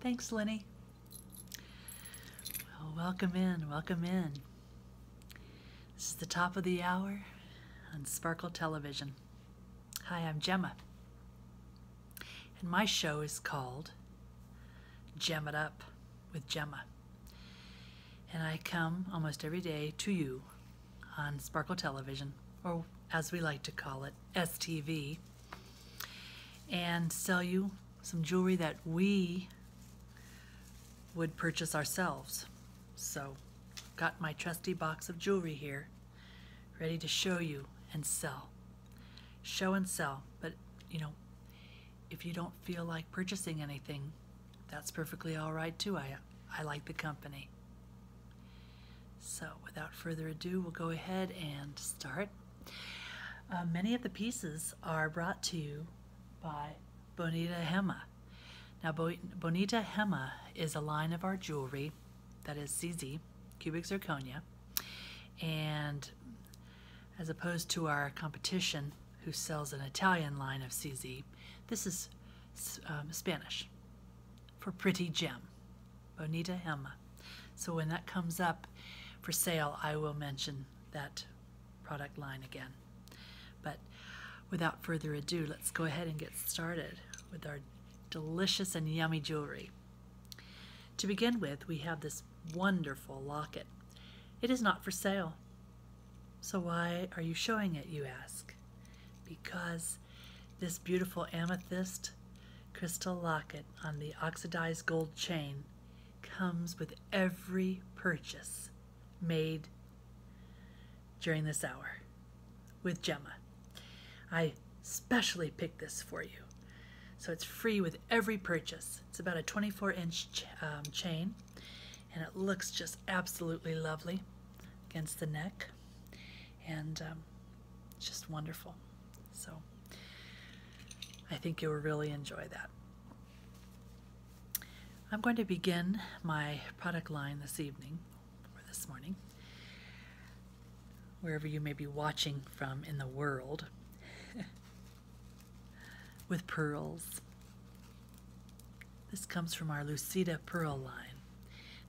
Thanks, Lenny. welcome in, welcome in. This is the top of the hour on Sparkle Television. Hi, I'm Gemma. And my show is called Gem It Up with Gemma. And I come almost every day to you on Sparkle Television, or as we like to call it, STV, and sell you some jewelry that we would purchase ourselves. So, got my trusty box of jewelry here, ready to show you and sell. Show and sell, but you know, if you don't feel like purchasing anything, that's perfectly all right too. I, I like the company. So, without further ado, we'll go ahead and start. Uh, many of the pieces are brought to you by Bonita Hema. Now, Bonita Hema is a line of our jewelry that is CZ, cubic zirconia, and as opposed to our competition who sells an Italian line of CZ. This is um, Spanish for pretty gem, bonita gema. So when that comes up for sale, I will mention that product line again. But without further ado, let's go ahead and get started with our delicious and yummy jewelry. To begin with, we have this wonderful locket. It is not for sale. So why are you showing it, you ask? Because this beautiful amethyst crystal locket on the oxidized gold chain comes with every purchase made during this hour with Gemma. I specially picked this for you. So it's free with every purchase. It's about a 24 inch um, chain and it looks just absolutely lovely against the neck and um, just wonderful. So I think you'll really enjoy that. I'm going to begin my product line this evening or this morning, wherever you may be watching from in the world. with pearls. This comes from our Lucida pearl line.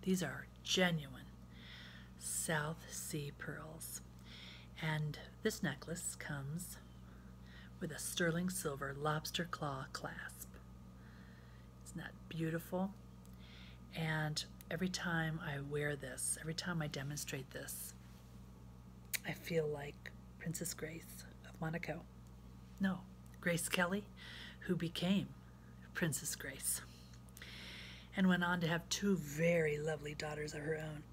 These are genuine South Sea pearls. And this necklace comes with a sterling silver lobster claw clasp. Isn't that beautiful? And every time I wear this, every time I demonstrate this, I feel like Princess Grace of Monaco. No, Grace Kelly, who became Princess Grace and went on to have two very lovely daughters of her own.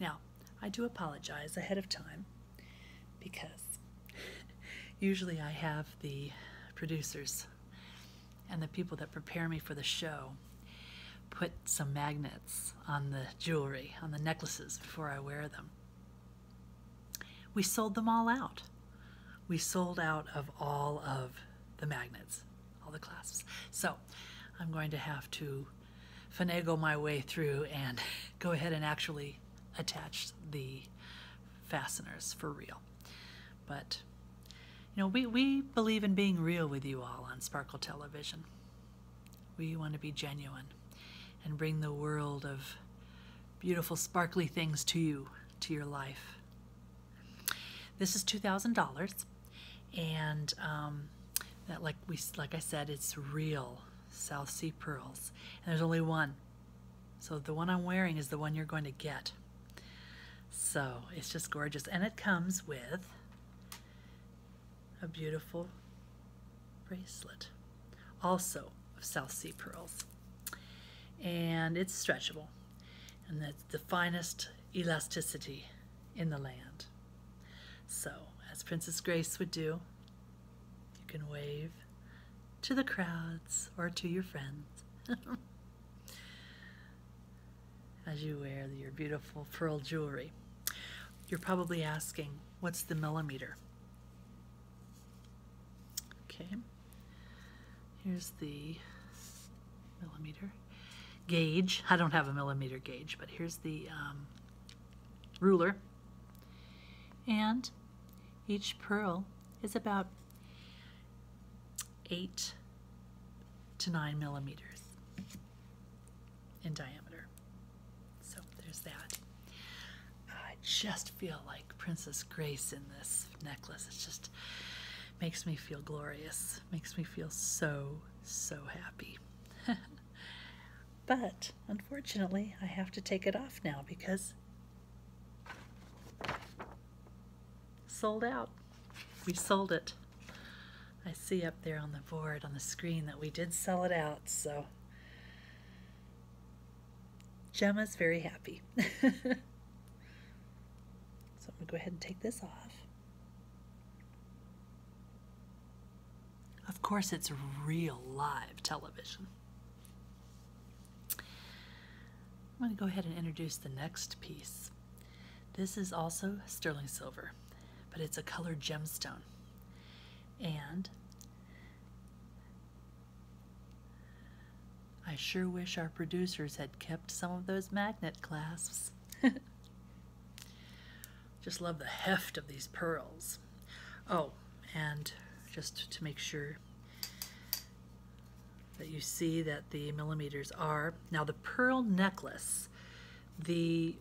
Now, I do apologize ahead of time because usually I have the producers and the people that prepare me for the show put some magnets on the jewelry, on the necklaces before I wear them. We sold them all out. We sold out of all of the magnets, all the clasps. So I'm going to have to finagle my way through and go ahead and actually attach the fasteners for real. But, you know, we, we believe in being real with you all on Sparkle Television. We want to be genuine and bring the world of beautiful, sparkly things to you, to your life. This is $2,000 and um, like we like I said it's real South Sea pearls and there's only one so the one I'm wearing is the one you're going to get so it's just gorgeous and it comes with a beautiful bracelet, also of South Sea pearls. And it's stretchable, and that's the finest elasticity in the land. So, as Princess Grace would do, you can wave to the crowds or to your friends as you wear your beautiful pearl jewelry. You're probably asking, What's the millimeter? Okay. Here's the millimeter gauge. I don't have a millimeter gauge, but here's the um, ruler. And each pearl is about 8 to 9 millimeters in diameter. So there's that. I just feel like Princess Grace in this necklace. It just makes me feel glorious, makes me feel so, so happy. but unfortunately, I have to take it off now because sold out. We sold it. I see up there on the board on the screen that we did sell it out, so Gemma's very happy. so I'm going to go ahead and take this off. Of course, it's real live television. I'm going to go ahead and introduce the next piece. This is also sterling silver, but it's a colored gemstone. And I sure wish our producers had kept some of those magnet clasps. just love the heft of these pearls. Oh, and just to make sure that you see that the millimeters are. Now the pearl necklace, the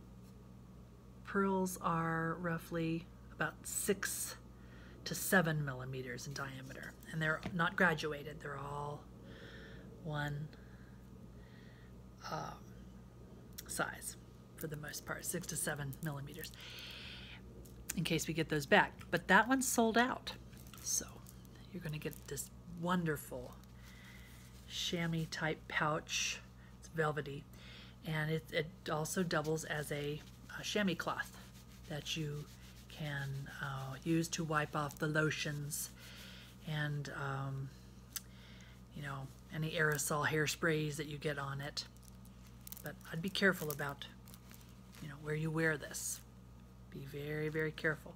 Pearls are roughly about six to seven millimeters in diameter. And they're not graduated, they're all one um, size for the most part, six to seven millimeters, in case we get those back. But that one's sold out. So you're gonna get this wonderful chamois type pouch. It's velvety and it, also doubles as a, chamois cloth that you can uh, use to wipe off the lotions and um, you know any aerosol hairsprays that you get on it but I'd be careful about you know where you wear this be very very careful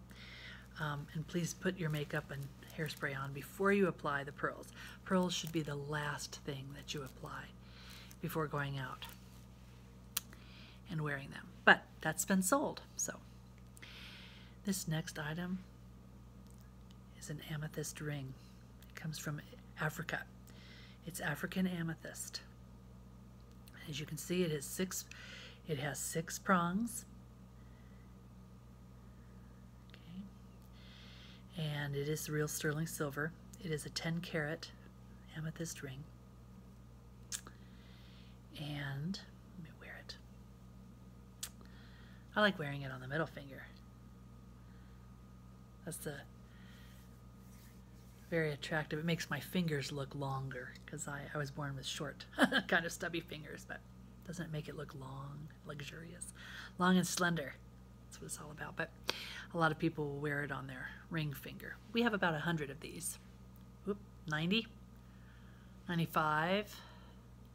um, and please put your makeup and hairspray on before you apply the pearls. Pearls should be the last thing that you apply before going out and wearing them. But that's been sold. So this next item is an amethyst ring. It comes from Africa. It's African amethyst. As you can see, it has six it has six prongs Okay. And it is real sterling silver. It is a 10 karat amethyst ring. And let me wear it. I like wearing it on the middle finger. That's the very attractive. It makes my fingers look longer because I, was born with short, kind of stubby fingers, but doesn't make it look long? luxurious, long and slender. That's what it's all about. But a lot of people will wear it on their ring finger. We have about a 100 of these. Oop, 90, 95,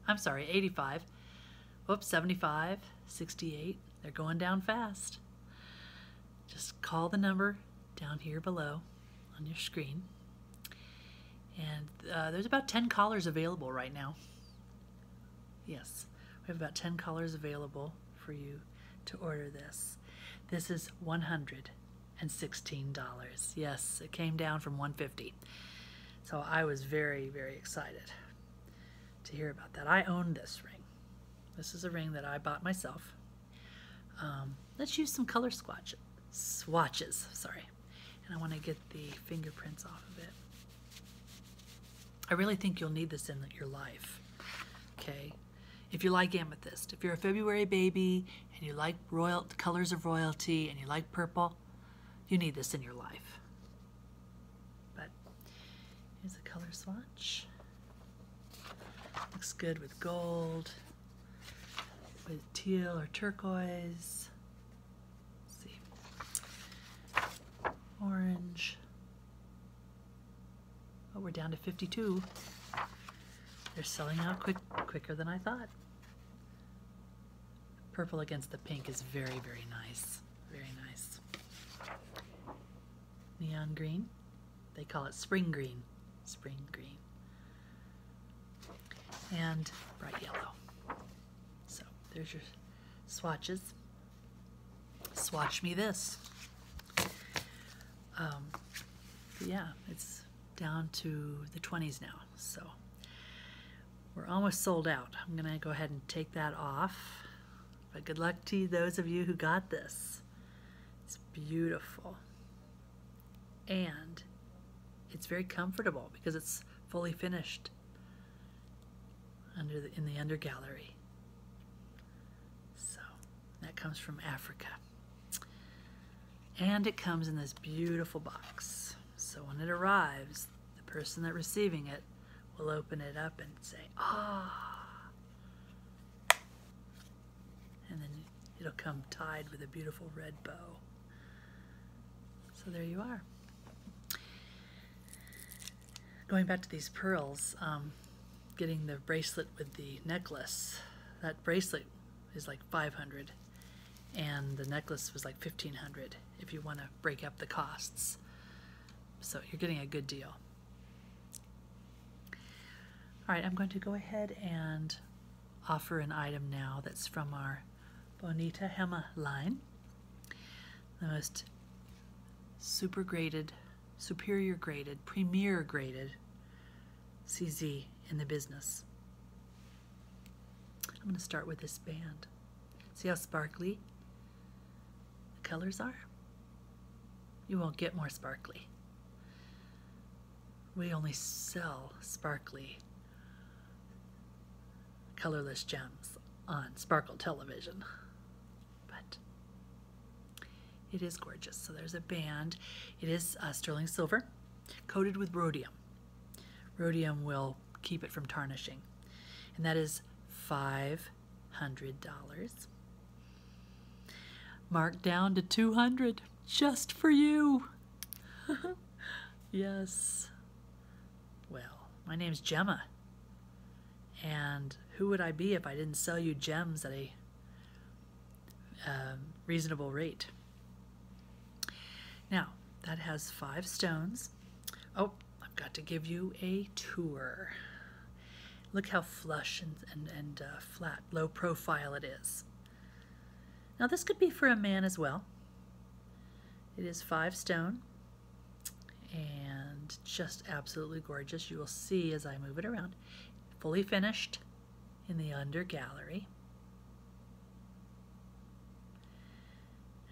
I'm sorry, 85. Whoops, 75, 68. They're going down fast. Just call the number down here below on your screen. And uh, there's about 10 collars available right now. Yes, we have about 10 colors available for you to order this. This is $116. Yes, it came down from 150 So I was very, very excited to hear about that. I own this ring. This is a ring that I bought myself. Um, let's use some color swatches, swatches, sorry. And I want to get the fingerprints off of it. I really think you'll need this in your life. Okay? If you like amethyst, if you're a February baby and you like royal colors of royalty and you like purple, you need this in your life. But here's a color swatch. Looks good with gold, with teal or turquoise, see. Orange. Oh, we're down to 52. They're selling out quick, quicker than I thought. Purple against the pink is very, very nice. Very nice. Neon green. They call it spring green. Spring green. And bright yellow. So there's your swatches swatch me this. Um, yeah, it's down to the 20s now, so we're almost sold out. I'm gonna go ahead and take that off. But good luck to those of you who got this. It's beautiful. And it's very comfortable because it's fully finished under the, in the under gallery. So that comes from Africa. And it comes in this beautiful box. So when it arrives, the person that's receiving it will open it up and say, ah. And then it'll come tied with a beautiful red bow. So there you are going back to these pearls, um, getting the bracelet with the necklace, that bracelet is like 500 and the necklace was like 1500 if you want to break up the costs. So you're getting a good deal. All right, I'm going to go ahead and offer an item now that's from our Bonita Hema line the most super graded, superior graded, premier graded CZ in the business. I'm going to start with this band. See how sparkly the colors are? You won't get more sparkly. We only sell sparkly colorless gems on Sparkle Television. But it is gorgeous. So there's a band. It is uh, sterling silver coated with rhodium. Rhodium will keep it from tarnishing. And that is $500. Marked down to 200 just for you. yes. Well, my name's Gemma. And who would I be if I didn't sell you gems at a um, reasonable rate? Now, that has five stones. Oh, I've got to give you a tour. Look how flush and, uh, flat, low profile it is. Now this could be for a man as well. It is five stone, and just absolutely gorgeous. You will see as I move it around, fully finished in the under gallery.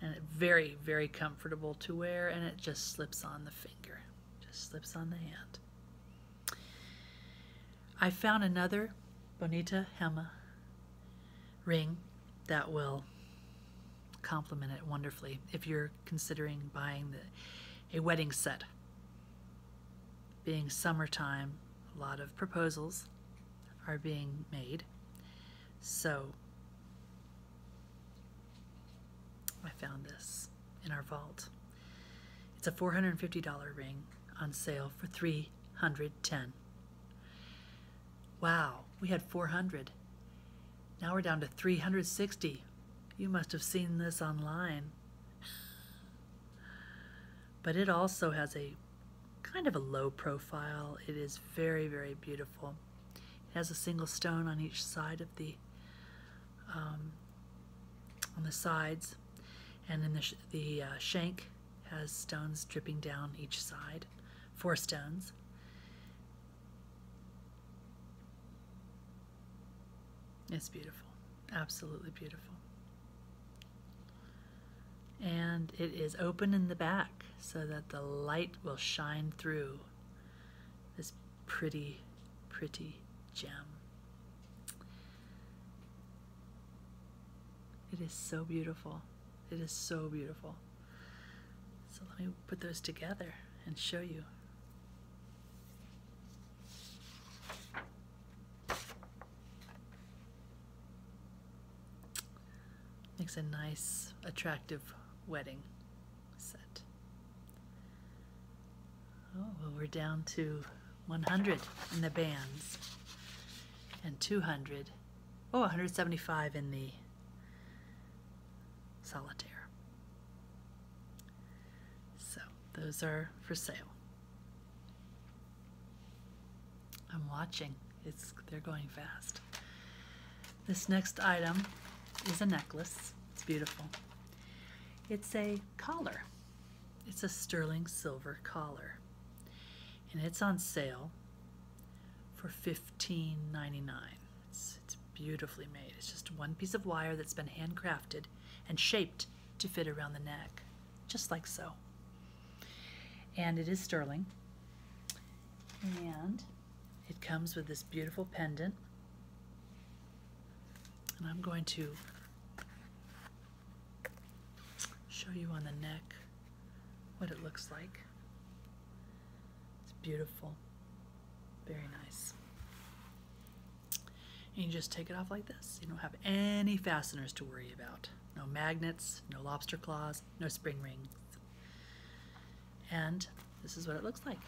And very, very comfortable to wear and it just slips on the finger, just slips on the hand. I found another Bonita Hema ring that will complement it wonderfully if you're considering buying the, a wedding set. Being summertime, a lot of proposals are being made. So I found this in our vault. It's a $450 ring on sale for 310. Wow, we had 400. Now we're down to 360. You must have seen this online. But it also has a kind of a low profile. It is very, very beautiful. It has a single stone on each side of the, um, on the sides. And then the, the uh, shank has stones dripping down each side, four stones. It's beautiful, absolutely beautiful. And it is open in the back so that the light will shine through this pretty, pretty gem. It is so beautiful. It is so beautiful. So let me put those together and show you. Makes a nice, attractive wedding set. Oh, well, we're down to 100 in the bands and 200. Oh, 175 in the solitaire. So those are for sale. I'm watching. It's they're going fast. This next item is a necklace. It's beautiful. It's a collar. It's a sterling silver collar. And it's on sale for $15.99. It's, beautifully made. It's just one piece of wire that's been handcrafted and shaped to fit around the neck, just like so. And it is sterling. And it comes with this beautiful pendant. And I'm going to show you on the neck what it looks like. It's beautiful. Very nice. you just take it off like this. You don't have any fasteners to worry about. No magnets, no lobster claws, no spring rings. And this is what it looks like.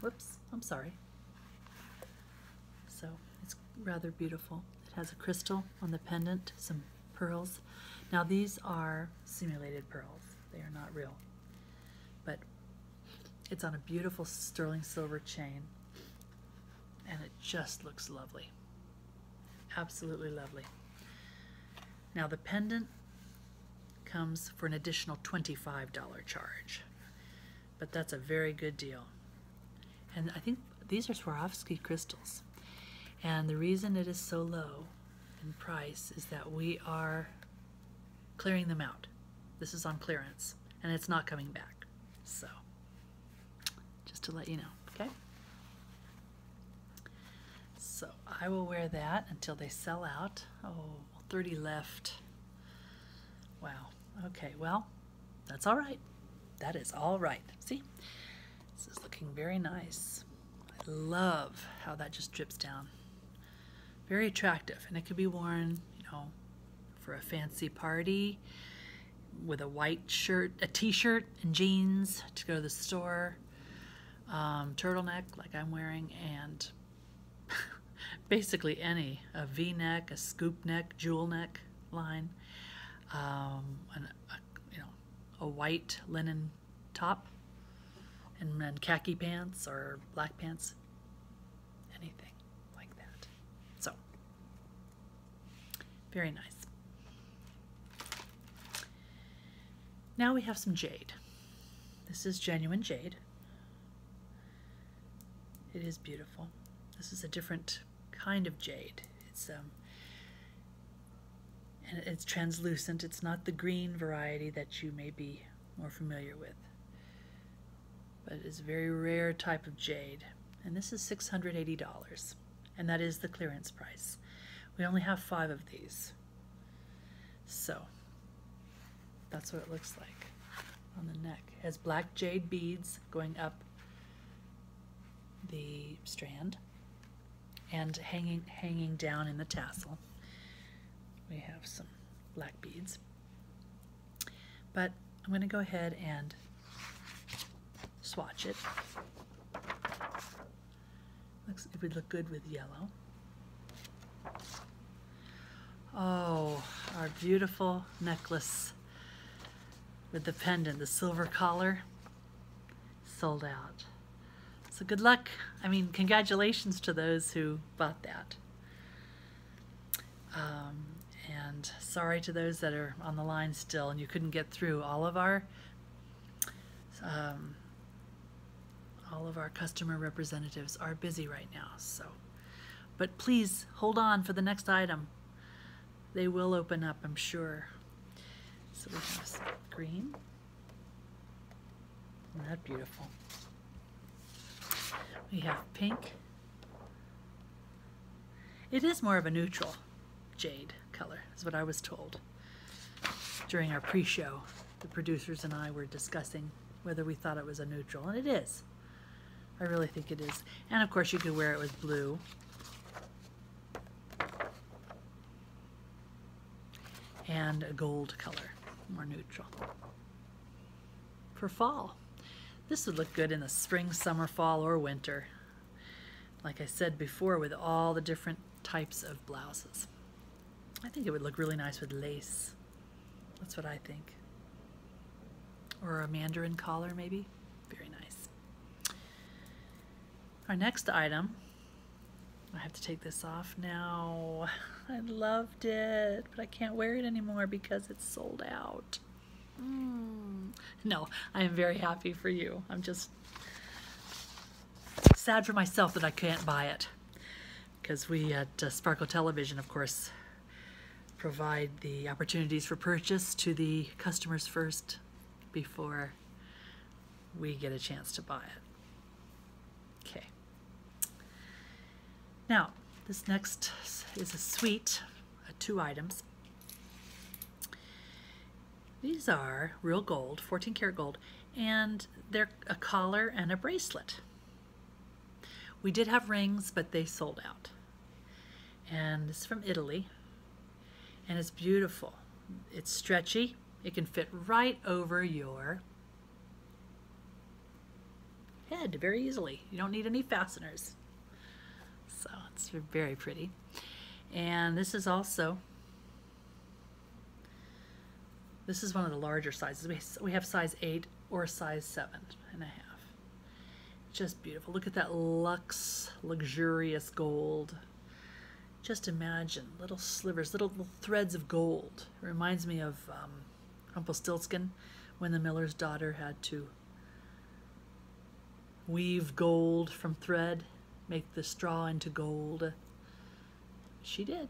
Whoops, I'm sorry. So it's rather beautiful. It has a crystal on the pendant, some pearls. Now these are simulated pearls. They are not real. But it's on a beautiful sterling silver chain, and it just looks lovely. Absolutely lovely. Now the pendant comes for an additional $25 charge, but that's a very good deal. And I think these are Swarovski crystals. And the reason it is so low Rachel Price is that we are clearing them out. This is on clearance and it's not coming back. So, just to let you know, okay? So, I will wear that until they sell out. Oh, 30 left. Wow. Okay, well, that's all right. That is all right. See? This is looking very nice. I love how that just drips down. Very attractive, and it could be worn, you know, for a fancy party with a white shirt, a t-shirt and jeans to go to the store, um, turtleneck like I'm wearing, and basically any, a v-neck, a scoop neck, jewel neck line, um, you know, a white linen top and, and khaki pants or black pants, anything like that. So, very nice. Now we have some jade. This is genuine jade. It is beautiful. This is a different kind of jade. It's um, and it's translucent, it's not the green variety that you may be more familiar with. But it's a very rare type of jade. And this is $680, and that is the clearance price. We only have five of these. So that's what it looks like on the neck. It has black jade beads going up the strand and hanging, hanging down in the tassel. We have some black beads. But I'm going to go ahead and swatch it. it would look good with yellow. Oh, our beautiful necklace with the pendant, the silver collar, sold out. So good luck. I mean, congratulations to those who bought that. Um, and sorry to those that are on the line still and you couldn't get through all of our um, all of our customer representatives are busy right now so but please hold on for the next item they will open up I'm sure so we have green isn't that beautiful? We have pink. It is more of a neutral jade color, is what I was told during our pre-show. The producers and I were discussing whether we thought it was a neutral, and it is. I really think it is. And of course you could wear it with blue and a gold color, more neutral. For fall, this would look good in the spring, summer, fall, or winter. Like I said before, with all the different types of blouses. I think it would look really nice with lace. That's what I think. Or a mandarin collar, maybe. Very nice. Our next item I have to take this off now. I loved it, but I can't wear it anymore because it's sold out. Hmm. No, I am very happy for you. I'm just sad for myself that I can't buy it because we at uh, Sparkle Television, of course, provide the opportunities for purchase to the customers first before we get a chance to buy it. Okay. Now, this next is a suite uh, two items. These are real gold, 14 karat gold, and they're a collar and a bracelet. We did have rings, but they sold out. And this is from Italy, and it's beautiful. It's stretchy. It can fit right over your head very easily. You don't need any fasteners. So it's very pretty. And this is also, this is one of the larger sizes. We have size 8 or size seven and a half. Just beautiful. Look at that lux luxurious gold. Just imagine little slivers, little, threads of gold. It reminds me of um, Rumpelstiltskin when the miller's daughter had to weave gold from thread, make the straw into gold. She did.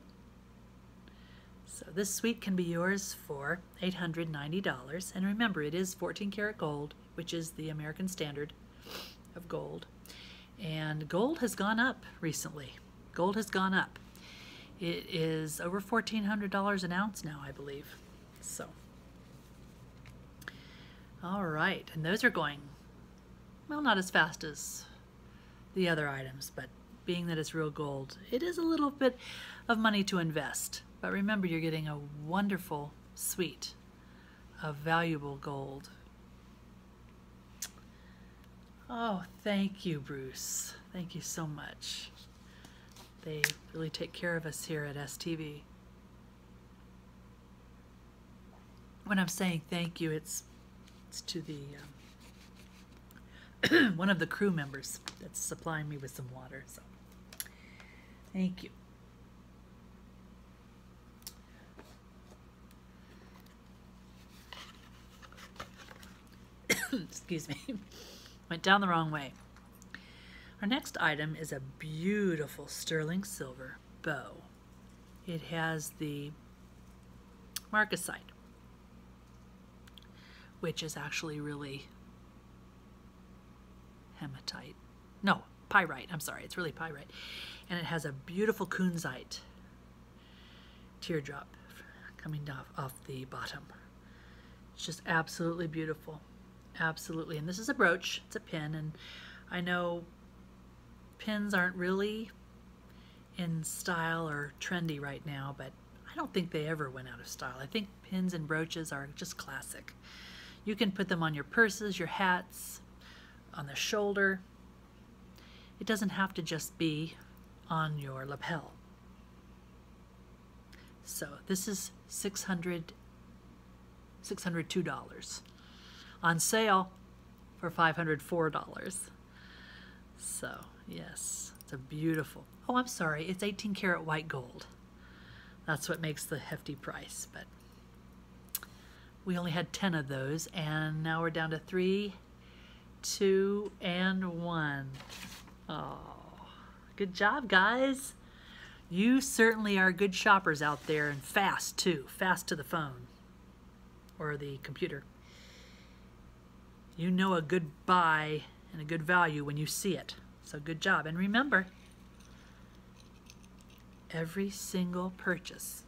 So this suite can be yours for $890. And remember, it is 14 karat gold, which is the American standard of gold. And gold has gone up recently. Gold has gone up. It is over $1,400 an ounce now, I believe. So, all right. And those are going, well, not as fast as the other items, but being that it's real gold, it is a little bit of money to invest. But remember, you're getting a wonderful suite of valuable gold Oh, thank you, Bruce. Thank you so much. They really take care of us here at STV. When I'm saying thank you, it's it's to the um, one of the crew members that's supplying me with some water. So, thank you. Excuse me. Went down the wrong way. Our next item is a beautiful sterling silver bow. It has the marcasite, which is actually really hematite. No, pyrite. I'm sorry, it's really pyrite. And it has a beautiful kunzite teardrop coming off, off the bottom. It's just absolutely beautiful. Absolutely. And this is a brooch. It's a pin. And I know pins aren't really in style or trendy right now, but I don't think they ever went out of style. I think pins and brooches are just classic. You can put them on your purses, your hats, on the shoulder. It doesn't have to just be on your lapel. So this is 600 $602 on sale for $504. So, yes, it's a beautiful. Oh, I'm sorry, it's 18 karat white gold. That's what makes the hefty price, but we only had 10 of those and now we're down to 3 two, and one. Oh, good job, guys. You certainly are good shoppers out there and fast, too. Fast to the phone or the computer. You know a good buy and a good value when you see it. So good job. And remember, every single purchase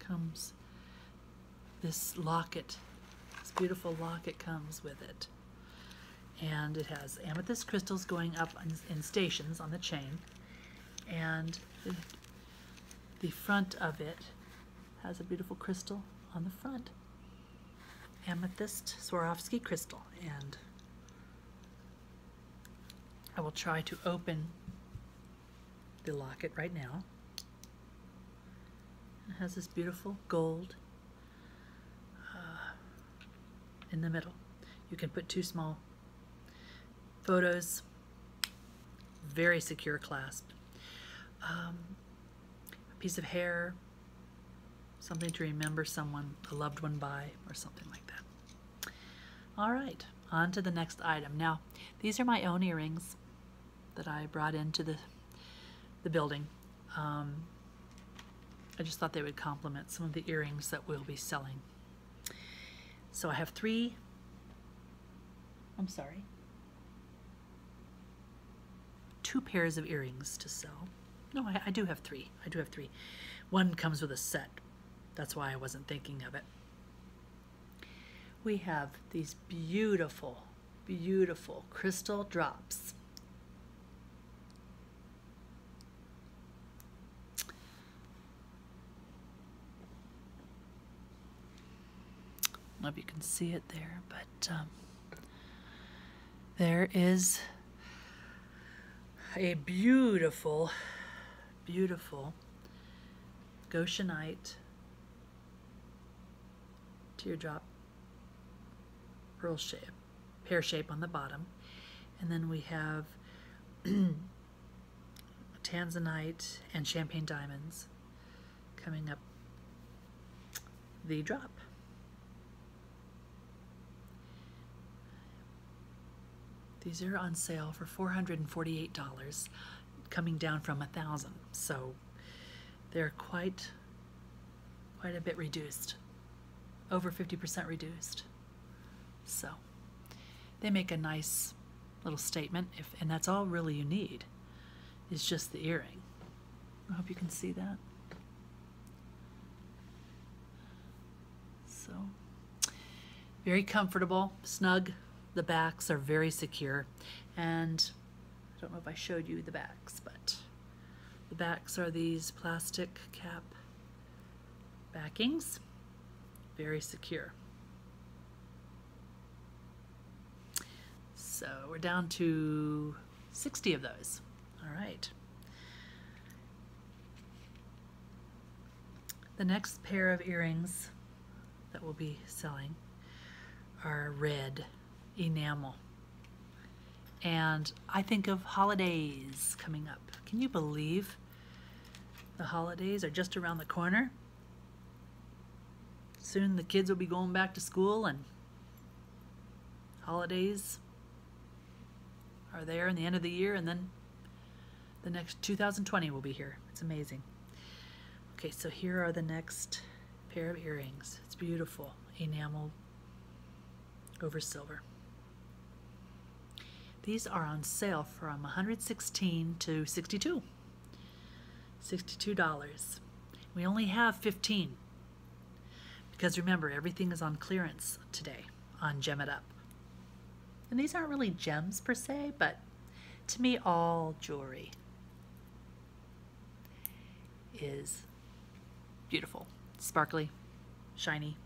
comes this locket. This beautiful locket comes with it. And it has amethyst crystals going up in stations on the chain. And the front of it has a beautiful crystal on the front. Amethyst Swarovski crystal. And I will try to open the locket right now. It has this beautiful gold uh, in the middle. You can put two small photos, very secure clasp. Um, a piece of hair, something to remember someone, a loved one by, or something like that. All right, on to the next item. Now, these are my own earrings that I brought into the, the building. Um, I just thought they would complement some of the earrings that we'll be selling. So I have three, I'm sorry, two pairs of earrings to sell. No, I do have three. I do have three. One comes with a set. That's why I wasn't thinking of it we have these beautiful, beautiful crystal drops. I do if you can see it there, but um, there is a beautiful, beautiful Goshenite, teardrop, pearl shape, pear shape on the bottom. And then we have tanzanite and champagne diamonds coming up the drop. These are on sale for $448 coming down from a thousand. So they're quite quite a bit reduced. Over 50% reduced. So they make a nice little statement if and that's all really you need is just the earring. I hope you can see that. So very comfortable, snug, the backs are very secure and I don't know if I showed you the backs, but the backs are these plastic cap backings, very secure. So we're down to 60 of those. All right. The next pair of earrings that we'll be selling are red enamel. And I think of holidays coming up. Can you believe the holidays are just around the corner? Soon the kids will be going back to school and holidays are there in the end of the year and then the next 2020 will be here. It's amazing. Okay, so here are the next pair of earrings. It's beautiful, enamel over silver. These are on sale from 116 to 62. $62. We only have 15 because remember everything is on clearance today on Gem It Up. And these aren't really gems per se, but to me, all jewelry is beautiful, sparkly, shiny,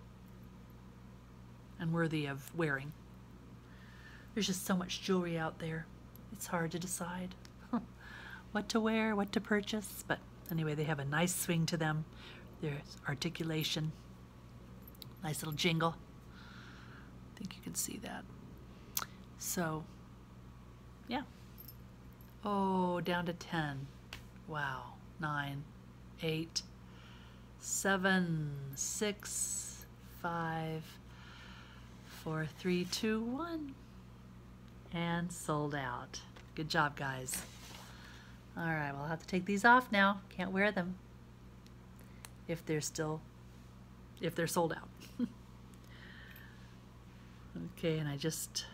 and worthy of wearing. There's just so much jewelry out there. It's hard to decide what to wear, what to purchase, but anyway, they have a nice swing to them. There's articulation. Nice little jingle. I think you can see that. So, yeah. Oh, down to 10. Wow. Nine, eight, seven, six, five, four, three, two, one, And sold out. Good job, guys. All right, right, will have to take these off now. Can't wear them if they're still if they're sold out. okay, and I just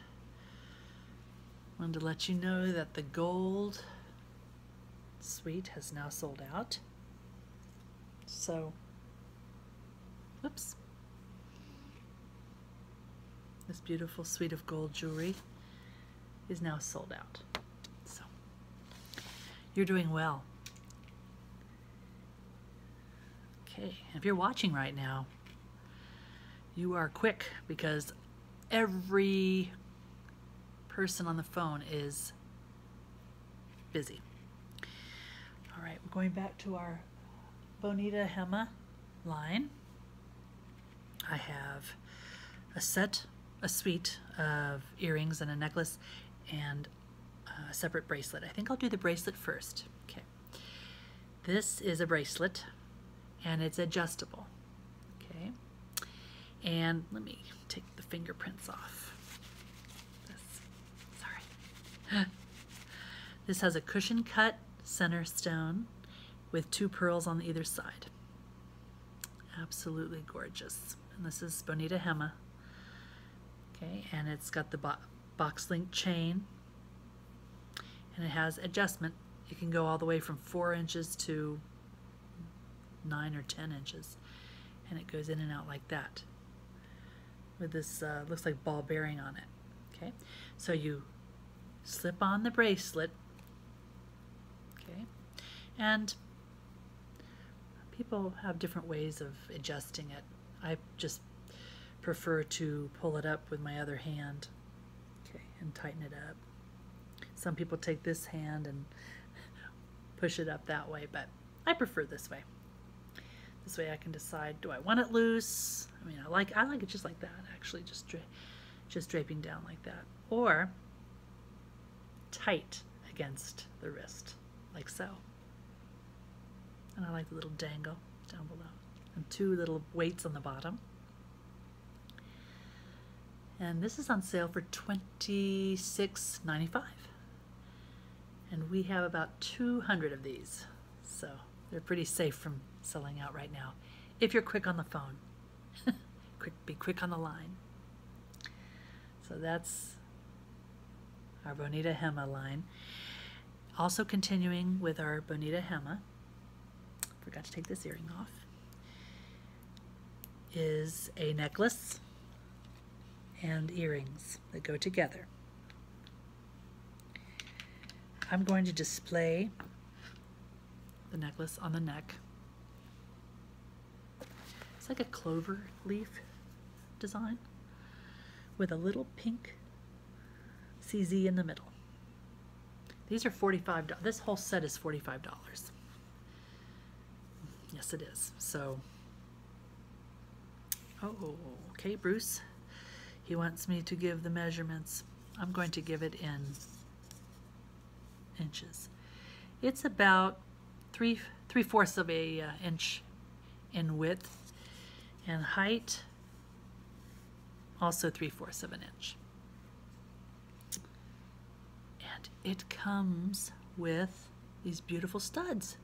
wanted to let you know that the gold suite has now sold out. So, whoops. This beautiful suite of gold jewelry is now sold out. So. You're doing well. Okay, if you're watching right now, you are quick because every person on the phone is busy. All right, we're going back to our Bonita Hema line. I have a set, a suite of earrings and a necklace and uh, a separate bracelet. I think I'll do the bracelet first. Okay. This is a bracelet and it's adjustable. Okay. And let me take the fingerprints off. This, sorry. this has a cushion cut center stone with two pearls on either side. Absolutely gorgeous. And this is Bonita Hema. Okay, and it's got the box link chain and it has adjustment. It can go all the way from 4 inches to 9 or 10 inches and it goes in and out like that with this uh, looks like ball bearing on it. Okay, so you slip on the bracelet okay, and People have different ways of adjusting it. I just prefer to pull it up with my other hand okay, and tighten it up. Some people take this hand and push it up that way, but I prefer this way. This way I can decide, do I want it loose? I mean, I like, I like it just like that, actually, just, just draping down like that. Or tight against the wrist, like so. And I like the little dangle down below. And two little weights on the bottom. And this is on sale for twenty six ninety five. And we have about 200 of these. So they're pretty safe from selling out right now. If you're quick on the phone. quick, be quick on the line. So that's our Bonita Hema line. Also continuing with our Bonita Hema, forgot to take this earring off, is a necklace and earrings that go together. I'm going to display the necklace on the neck it's like a clover leaf design with a little pink CZ in the middle. These are 45 This whole set is $45. Yes, it is. So, oh, okay, Bruce. He wants me to give the measurements. I'm going to give it in inches. It's about three three fourths of a uh, inch in width and height also three fourths of an inch and it comes with these beautiful studs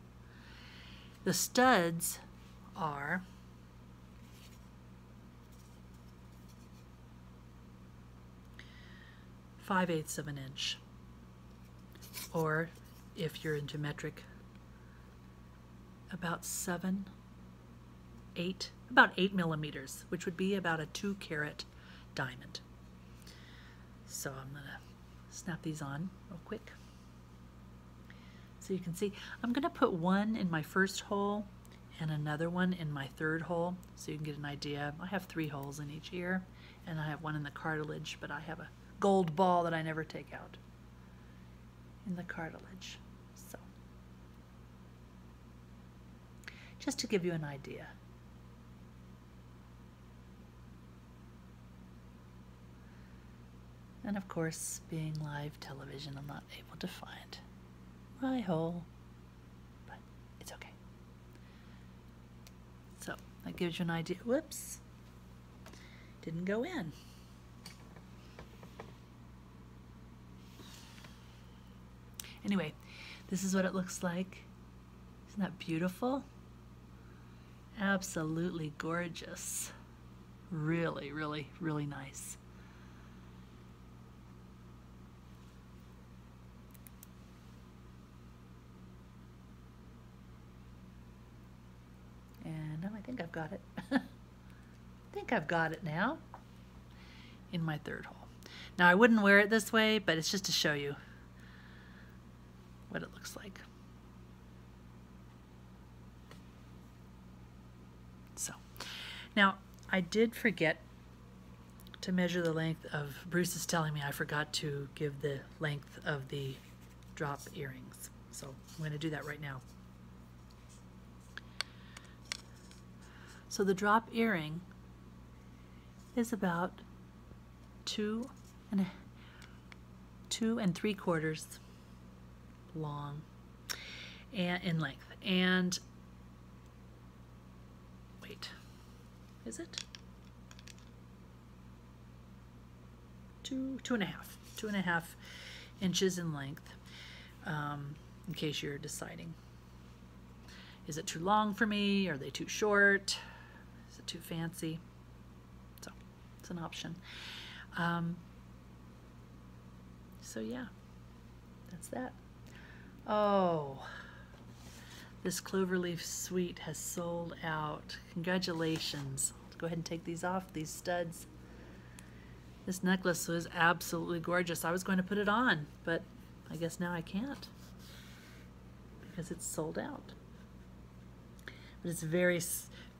the studs are 5 eighths of an inch. Or if you're into metric, about 7, 8, about 8 millimeters, which would be about a 2 carat diamond. So I'm going to snap these on real quick. So you can see, I'm going to put one in my first hole and another one in my third hole so you can get an idea. I have three holes in each ear and I have one in the cartilage, but I have a gold ball that I never take out in the cartilage. So, just to give you an idea. And of course, being live television, I'm not able to find my hole, but it's okay. So that gives you an idea. Whoops, didn't go in. Anyway, this is what it looks like. Isn't that beautiful? Absolutely gorgeous. Really, really, really nice. And I think I've got it. I think I've got it now in my third hole. Now I wouldn't wear it this way, but it's just to show you what it looks like. So, now I did forget to measure the length of, Bruce is telling me I forgot to give the length of the drop earrings. So I'm going to do that right now. So the drop earring is about two and a, two and three quarters long in length. And wait, is it? two, two and a half, two and a half inches in length um, in case you're deciding. Is it too long for me? Are they too short? Is it too fancy? So it's an option. Um, so yeah, that's that. Oh, this cloverleaf suite has sold out. Congratulations. go ahead and take these off, these studs. This necklace was absolutely gorgeous. I was going to put it on, but I guess now I can't because it's sold out. But it's very,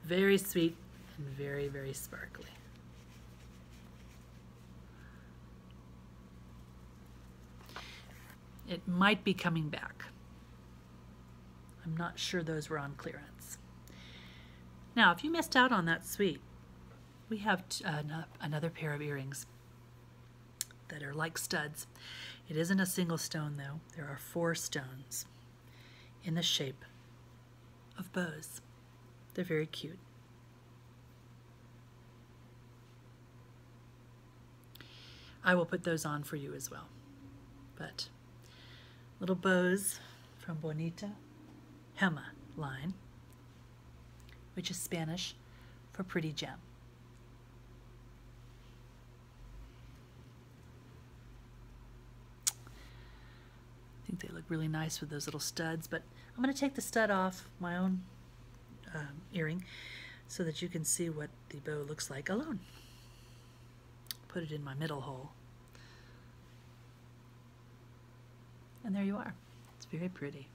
very sweet and very, very sparkly. It might be coming back. I'm not sure those were on clearance. Now, if you missed out on that suite, we have uh, another pair of earrings that are like studs. It isn't a single stone though. There are four stones in the shape of bows. They're very cute. I will put those on for you as well. But little bows from Bonita Hema line, which is Spanish for pretty gem. I think they look really nice with those little studs, but I'm going to take the stud off my own uh, earring so that you can see what the bow looks like a alone. Put it in my middle hole. And there you are. It's very pretty.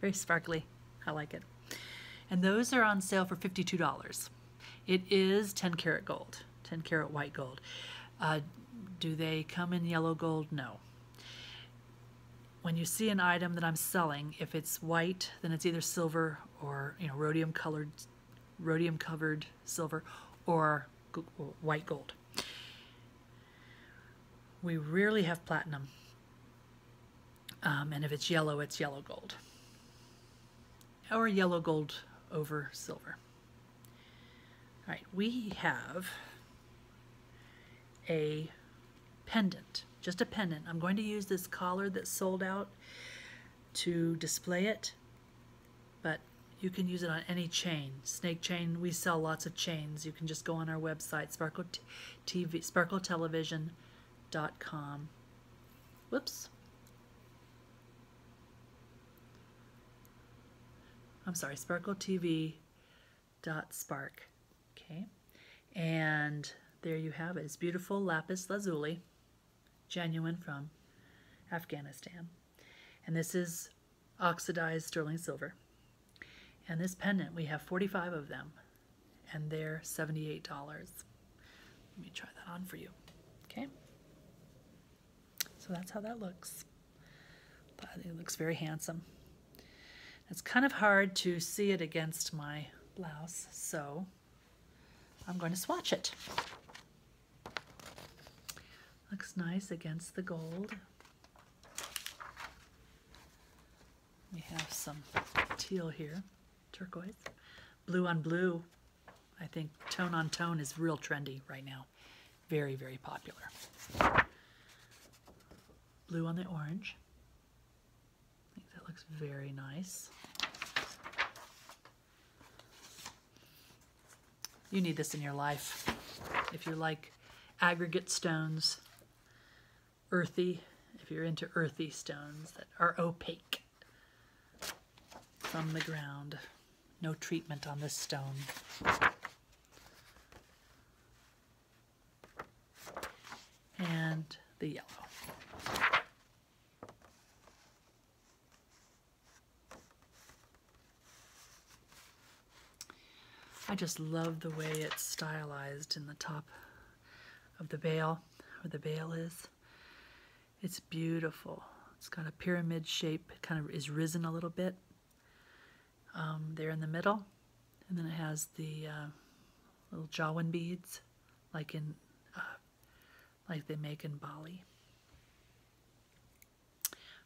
Very sparkly. I like it. And those are on sale for $52. It is 10 karat gold, 10 karat white gold. Uh, do they come in yellow gold? No when you see an item that I'm selling, if it's white, then it's either silver or you know rhodium colored, rhodium covered silver, or white gold. We rarely have platinum, um, and if it's yellow, it's yellow gold, or yellow gold over silver. All right, we have a pendant, just a pendant. I'm going to use this collar that's sold out to display it, but you can use it on any chain. Snake chain, we sell lots of chains. You can just go on our website, sparkle TV, sparkletelevision.com. Whoops. I'm sorry, sparkletv.com dot spark. Okay, and there you have it. It's beautiful lapis lazuli, genuine from Afghanistan. And this is oxidized sterling silver. And this pendant, we have 45 of them, and they're $78. Let me try that on for you. Okay. So that's how that looks. it looks very handsome. It's kind of hard to see it against my blouse, so I'm going to swatch it. Looks nice against the gold. We have some teal here, turquoise. Blue on blue, I think tone on tone is real trendy right now. Very, very popular. Blue on the orange. I think that looks very nice. You need this in your life. If you like aggregate stones, earthy, if you're into earthy stones that are opaque from the ground. No treatment on this stone and the yellow. I just love the way it's stylized in the top of the veil, where the veil is. It's beautiful. It's got a pyramid shape, kind of is risen a little bit um, there in the middle. And then it has the uh, little Jawan beads, like in uh, like they make in Bali.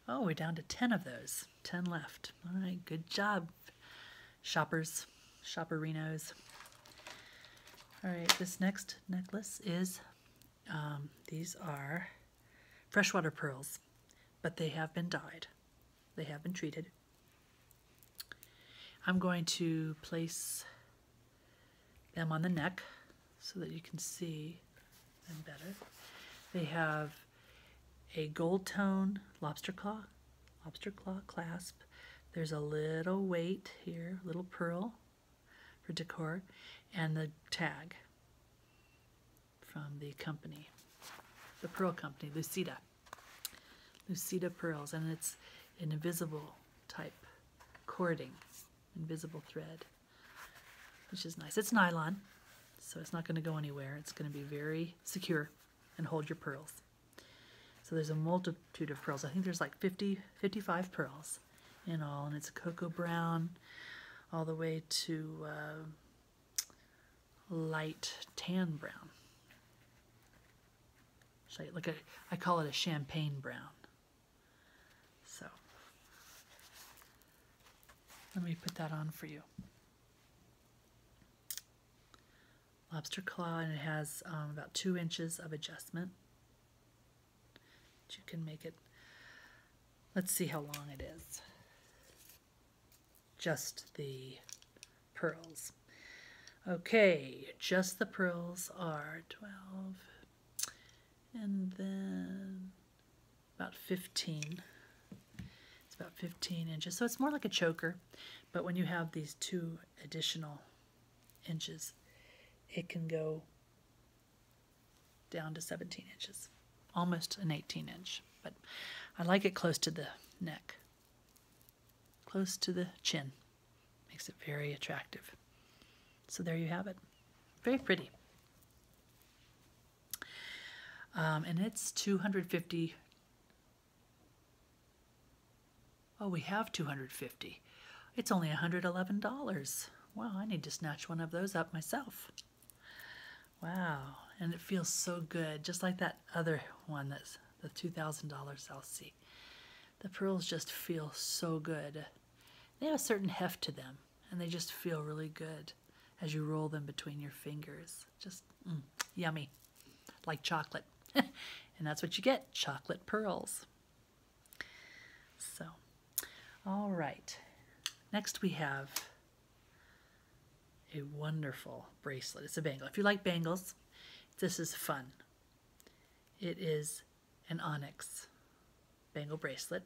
Oh, we're down to 10 of those. 10 left. All right, good job, shoppers, shopperinos. All right, this next necklace is, um, these are freshwater pearls, but they have been dyed. They have been treated. I'm going to place them on the neck so that you can see them better. They have a gold tone lobster claw, lobster claw clasp. There's a little weight here, little pearl for decor, and the tag from the company, the pearl company, Lucida. Lucida pearls, and it's an invisible type cording, invisible thread, which is nice. It's nylon, so it's not going to go anywhere. It's going to be very secure and hold your pearls. So there's a multitude of pearls. I think there's like 50, 55 pearls in all, and it's cocoa brown all the way to uh, light tan brown. So like a, I call it a champagne brown. So let me put that on for you. Lobster claw, and it has um, about two inches of adjustment. you can make it. Let's see how long it is just the pearls. Okay, just the pearls are 12, and then about 15. It's about 15 inches, so it's more like a choker, but when you have these two additional inches, it can go down to 17 inches, almost an 18 inch, but I like it close to the neck close to the chin. Makes it very attractive. So there you have it. Very pretty. Um, and it's 250. Oh, we have 250. It's only $111. Wow, I need to snatch one of those up myself. Wow, and it feels so good, just like that other one that's the $2,000 South Sea. The pearls just feel so good. They have a certain heft to them, and they just feel really good as you roll them between your fingers. Just mm, yummy, like chocolate. and that's what you get, chocolate pearls. So, all right. Next we have a wonderful bracelet. It's a bangle. If you like bangles, this. is fun. It is an onyx bangle bracelet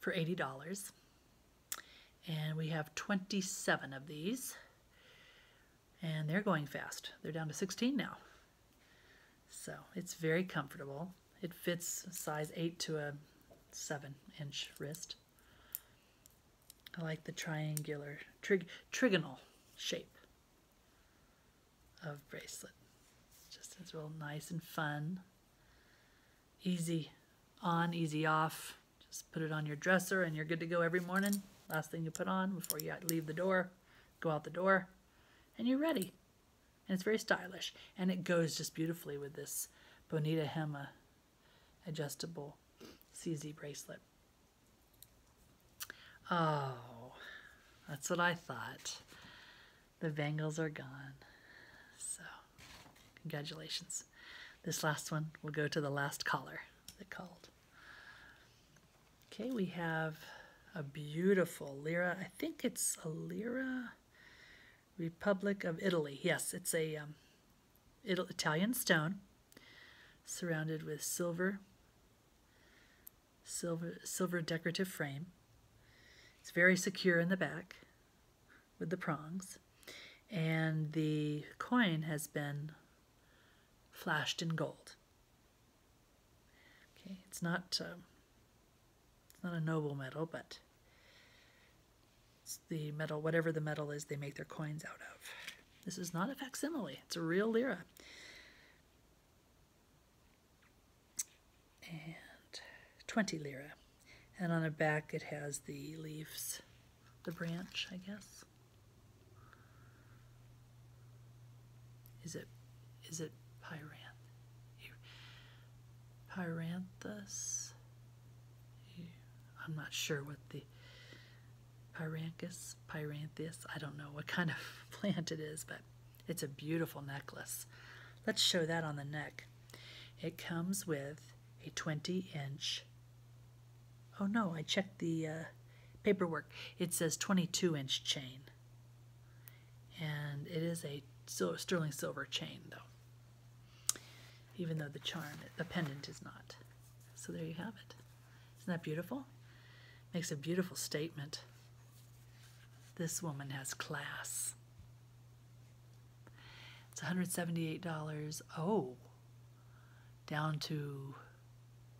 for $80. And we have 27 of these. And they're going fast. They're down to 16 now. So it's very comfortable. It fits size 8 to a 7 inch wrist. I like the triangular, trigonal shape of bracelet. Just as real nice and fun. Easy on, easy off. Just put it on your dresser and you're good to go every morning. Last thing you put on before you leave the door, go out the door, and you're ready. And it's very stylish. And it goes just beautifully with this Bonita Hema adjustable CZ bracelet. Oh, that's what I thought. The Bengals are gone. So, congratulations. This last one will go to the last caller that called. Okay, we have a beautiful lira. I think it's a lira. Republic of Italy. Yes, it's a um, Italian stone surrounded with silver, silver, silver decorative frame. It's very secure in the back with the prongs. And the coin has been flashed in gold. Okay, it's not uh, it's not a noble metal, but the metal, whatever the metal is, they make their coins out of. This is not a facsimile, it's a real lira. And 20 lira. And on the back it has the leaves, the branch, I guess. Is it, is it pyran, Pyranthus? I'm not sure what the Pyranthus, Pyranthus, I don't know what kind of plant it is, but it's a beautiful necklace. Let's show that on the neck. It comes with a 20 inch, oh no, I checked the uh, paperwork. It says 22 inch chain. And it is a sterling silver chain though, even though the charm, the pendant is not. So there you have it. Isn't that beautiful? Makes a beautiful statement. This woman has class. It's $178. Oh, down to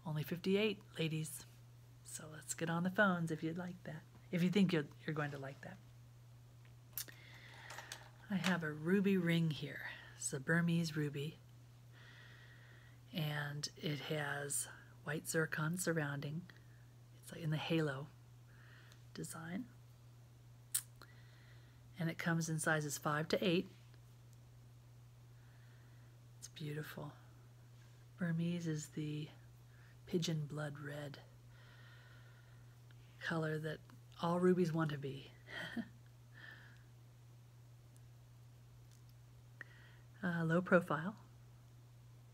only 58 ladies. So let's get on the phones if you'd like that. If you think you're, you're going to like that. I have a ruby ring here. It's a Burmese ruby. And it has white zircon surrounding. It's in the halo design. And it comes in sizes 5 to 8. It's beautiful. Burmese is the pigeon blood red color that all rubies want to be. Uh, low profile.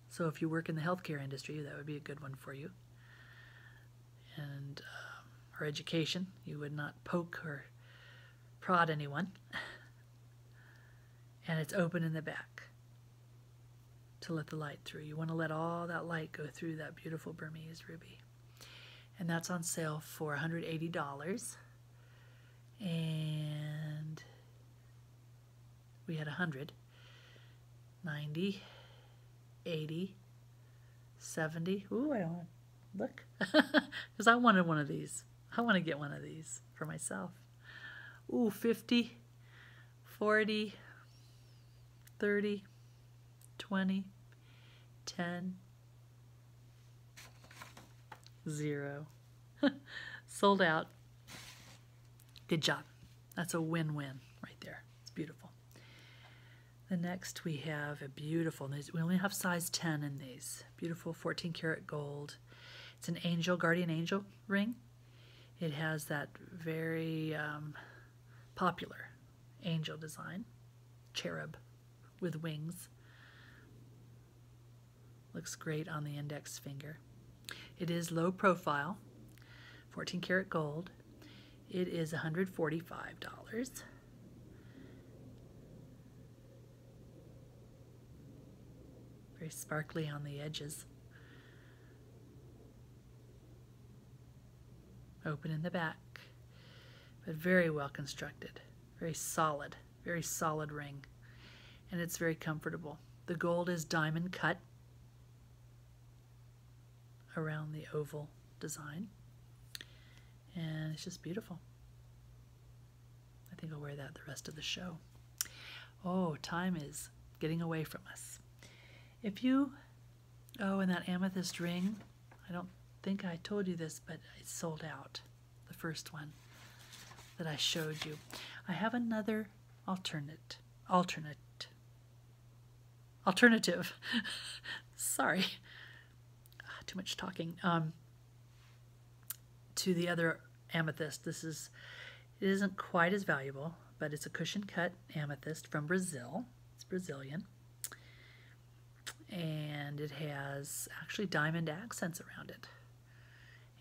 So if you work in the healthcare industry, that would be a good one for you. And um, or education, you would not poke or prod anyone. and it's open in the back to let the light through. You want to let all that light go through that beautiful Burmese ruby. And that's on sale for $180 and we had 100, 90, 80, 70. Ooh, I don't look because I wanted one of these. I want to get one of these for myself. Ooh, 50, 40, 30, 20, 10, Zero. Sold out. Good job. That's a win-win right there. It's beautiful. The next we have a beautiful, we only have size 10 in these. Beautiful 14 karat gold. It's an angel, guardian angel ring. It has that very um, popular angel design, cherub with wings. Looks great on the index finger. It is low profile, 14 karat gold. It is $145. Very sparkly on the edges. Open in the back, but very well constructed, very solid very solid ring and it's very comfortable. The gold is diamond cut around the oval design and it's just beautiful. I think I'll wear that the rest of the show. Oh, time is getting away from us. If you, oh, and that amethyst ring, I don't think I told you this, but it's sold out the first one that I showed you. I have another alternate, alternate, alternative. Sorry, ah, too much talking. Um, to the other amethyst, this is it isn't quite as valuable, but it's a cushion cut amethyst from Brazil. It's Brazilian and it has actually diamond accents around it.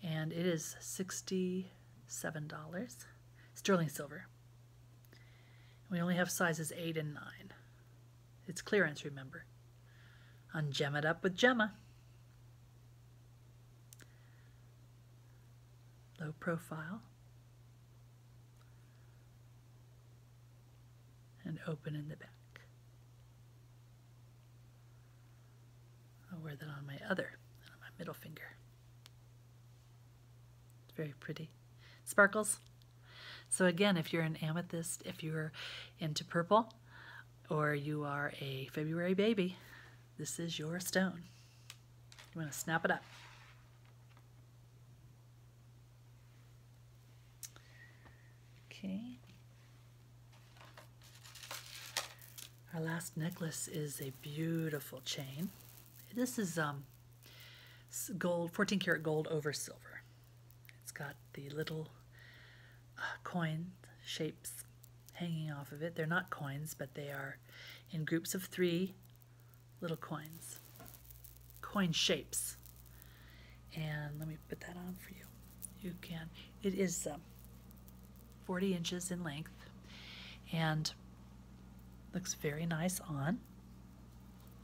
And it is $67, sterling silver. We only have sizes 8 and 9. It's clearance, remember. On Gem It Up with Gemma. Low profile and open in the back. I'll wear that on my other, on my middle finger. It's very pretty. Sparkles. So again, if you're an amethyst, if you're into purple, or you are a February baby, this is your stone. You want to snap it up. Okay. Our last necklace is a beautiful chain. This is um, gold, 14 karat gold over silver. It's got the little uh, coin shapes hanging off of it. They're not coins, but they are in groups of three little coins. Coin shapes and let me put that on for you you can it is um, 40 inches in length and looks very nice on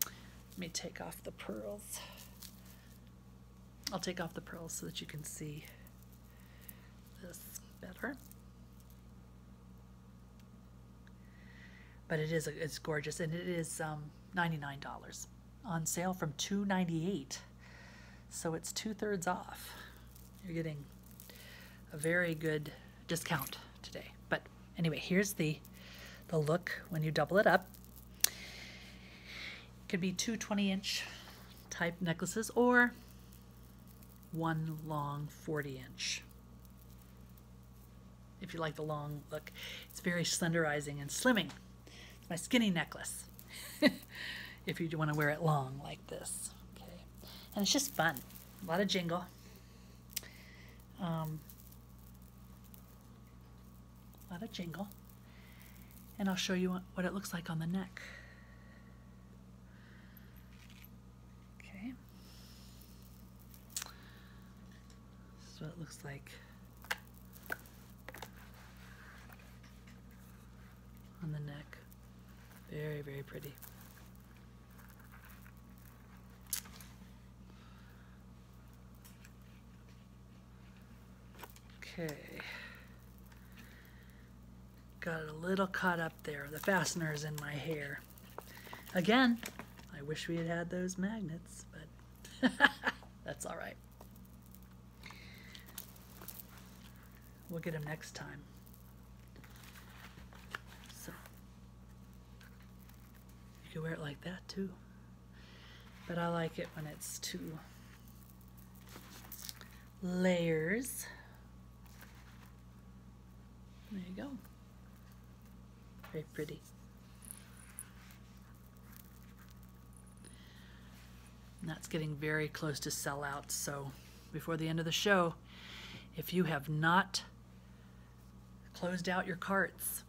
let me take off the pearls I'll take off the pearls so that you can see this better but it is it's gorgeous and it is um, $99 on sale from 298 so it's two-thirds off you're getting a very good discount today but anyway here's the the look when you double it up it could be two 20 inch type necklaces or one long 40 inch if you like the long look it's very slenderizing and slimming my skinny necklace. if you want to wear it long like this. Okay. And it's just fun. A lot of jingle. Um, a lot of jingle. And I'll show you what it looks like on the neck. Okay. This is what it looks like on the neck. Very, very pretty. Okay. Got a little caught up there. The fastener is in my hair. Again, I wish we had had those magnets, but that's all right. We'll get them next time. So you can wear it like that too. But I like it when it's two layers. There you go. Very pretty. And that's getting very close to sellout. So before the end of the show, if you have not closed out your carts,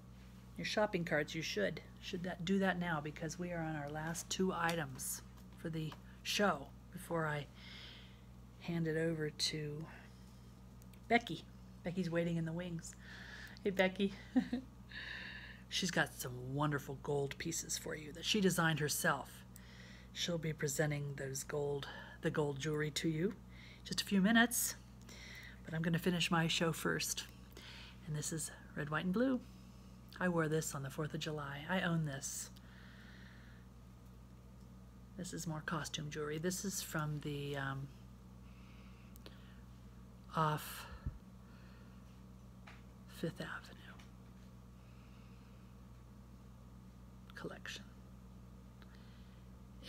your shopping carts, you should. Should that do that now because we are on our last two items for the show before I hand it over to Becky. Becky's waiting in the wings. Hey, Becky. She's got some wonderful gold pieces for you that she designed herself. She'll be presenting those gold, the gold jewelry to you just a few minutes. But I'm going to finish my show first. And this is red, white, and blue. I wore this on the 4th of July. I own this. This is more costume jewelry. This is from the um, off Fifth Avenue collection.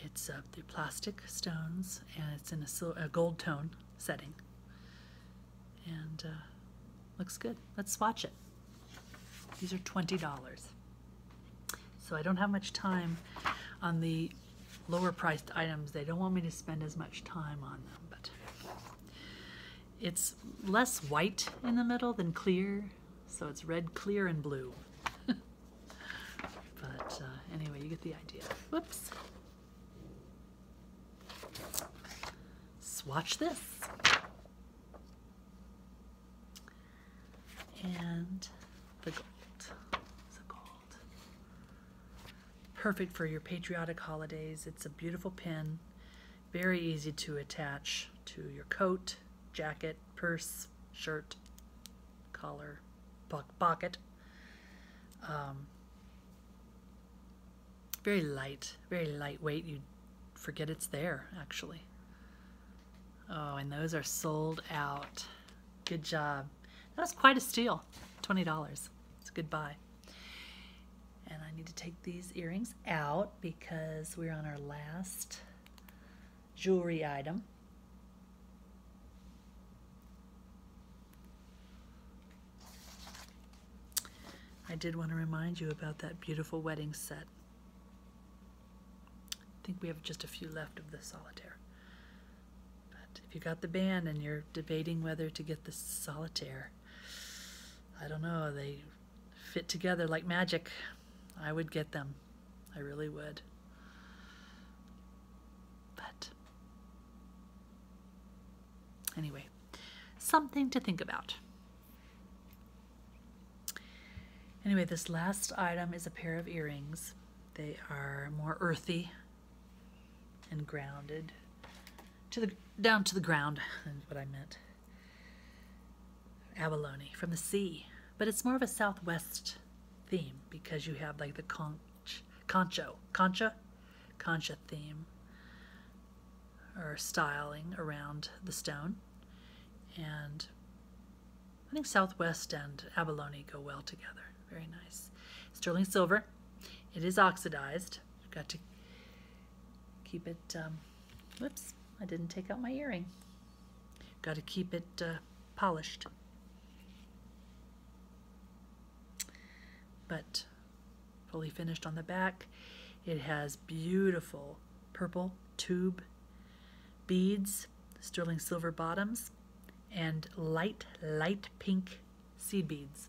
It's uh, the plastic stones and it's in a, gold tone setting. And uh, looks good. Let's swatch it. These are $20. So I don't have much time on the lower priced items. They don't want me to spend as much time on them, but it's less white in the middle than clear, so it's red, clear, and blue. but uh, anyway, you get the idea. Whoops. Swatch this. And The gold perfect for your patriotic holidays. It's a beautiful pin, very easy to attach to your coat, jacket, purse, shirt, collar, po pocket. Um, very light, very lightweight. You forget it's there, actually. Oh, and those are sold out. Good job. That was quite a steal. $20. It's a good buy. And I need to take these earrings out because we're on our last jewelry item. I did want to remind you about that beautiful wedding set. I think we have just a few left of the solitaire. But if you got the ban and you're debating whether to get the solitaire, I don't know, they fit together like magic. I would get them. I really would. But anyway, something to think about. Anyway, this last item is a pair of earrings. They are more earthy and grounded to the down to the ground is what I meant. Abalone from the sea, but it's more of a southwest theme because you have like the conch, concho, concha, concha theme or styling around the stone, and I think southwest and abalone go well together. Very nice. Sterling silver, it is oxidized I've got to keep it, um, whoops, I didn't take out my earring. Got to keep it uh, polished. But fully finished on the back. It has beautiful purple tube beads, sterling silver bottoms, and light, light pink seed beads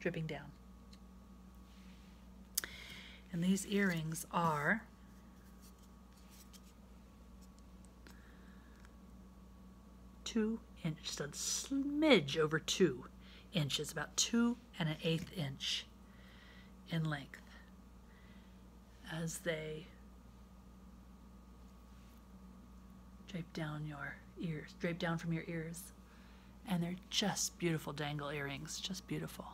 dripping down. And these earrings are two inches, just a smidge over two inches, about two and an eighth inch in length as they drape down your ears, drape down from your ears. And they're just beautiful dangle earrings, just beautiful.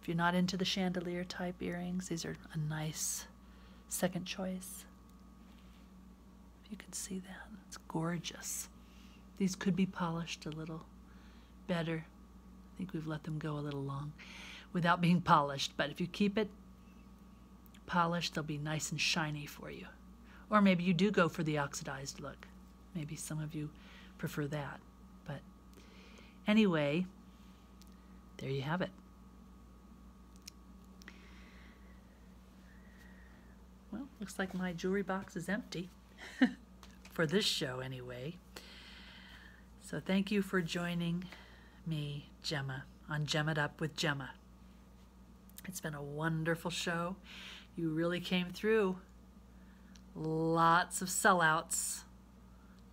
If you're not into the chandelier type earrings, these are a nice second choice. If you can see that, it's gorgeous. These could be polished a little better. I think we've let them go a little long without being polished, but if you keep it polished, they'll be nice and shiny for you. Or maybe you do go for the oxidized look. Maybe some of you prefer that. But anyway, there you have it. Well, looks like my jewelry box is empty. for this show, anyway. So thank you for joining me, Gemma, on Gem It Up with Gemma. It's been a wonderful show. You really came through. Lots of sellouts,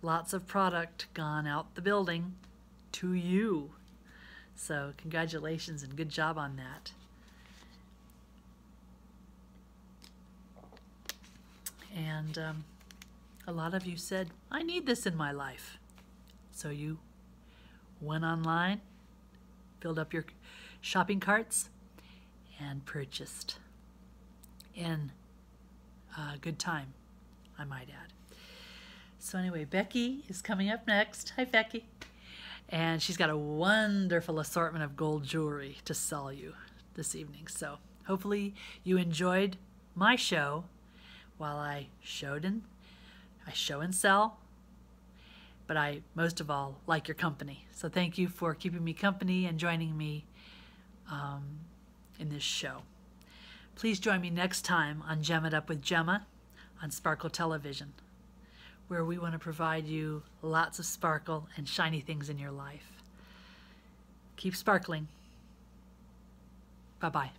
lots of product gone out the building to you. So, congratulations and good job on that. And um, a lot of you said, I need this in my life. So, you Went online, filled up your shopping carts, and purchased in a good time, I might add. So anyway, Becky is coming up next. Hi, Becky. And she's got a wonderful assortment of gold jewelry to sell you this evening. So hopefully you enjoyed my show while I showed and I show and sell but I, most of all, like your company. So thank you for keeping me company and joining me um, in this show. Please join me next time on Gem It Up with Gemma on Sparkle Television, where we want to provide you lots of sparkle and shiny things in your life. Keep sparkling. Bye bye.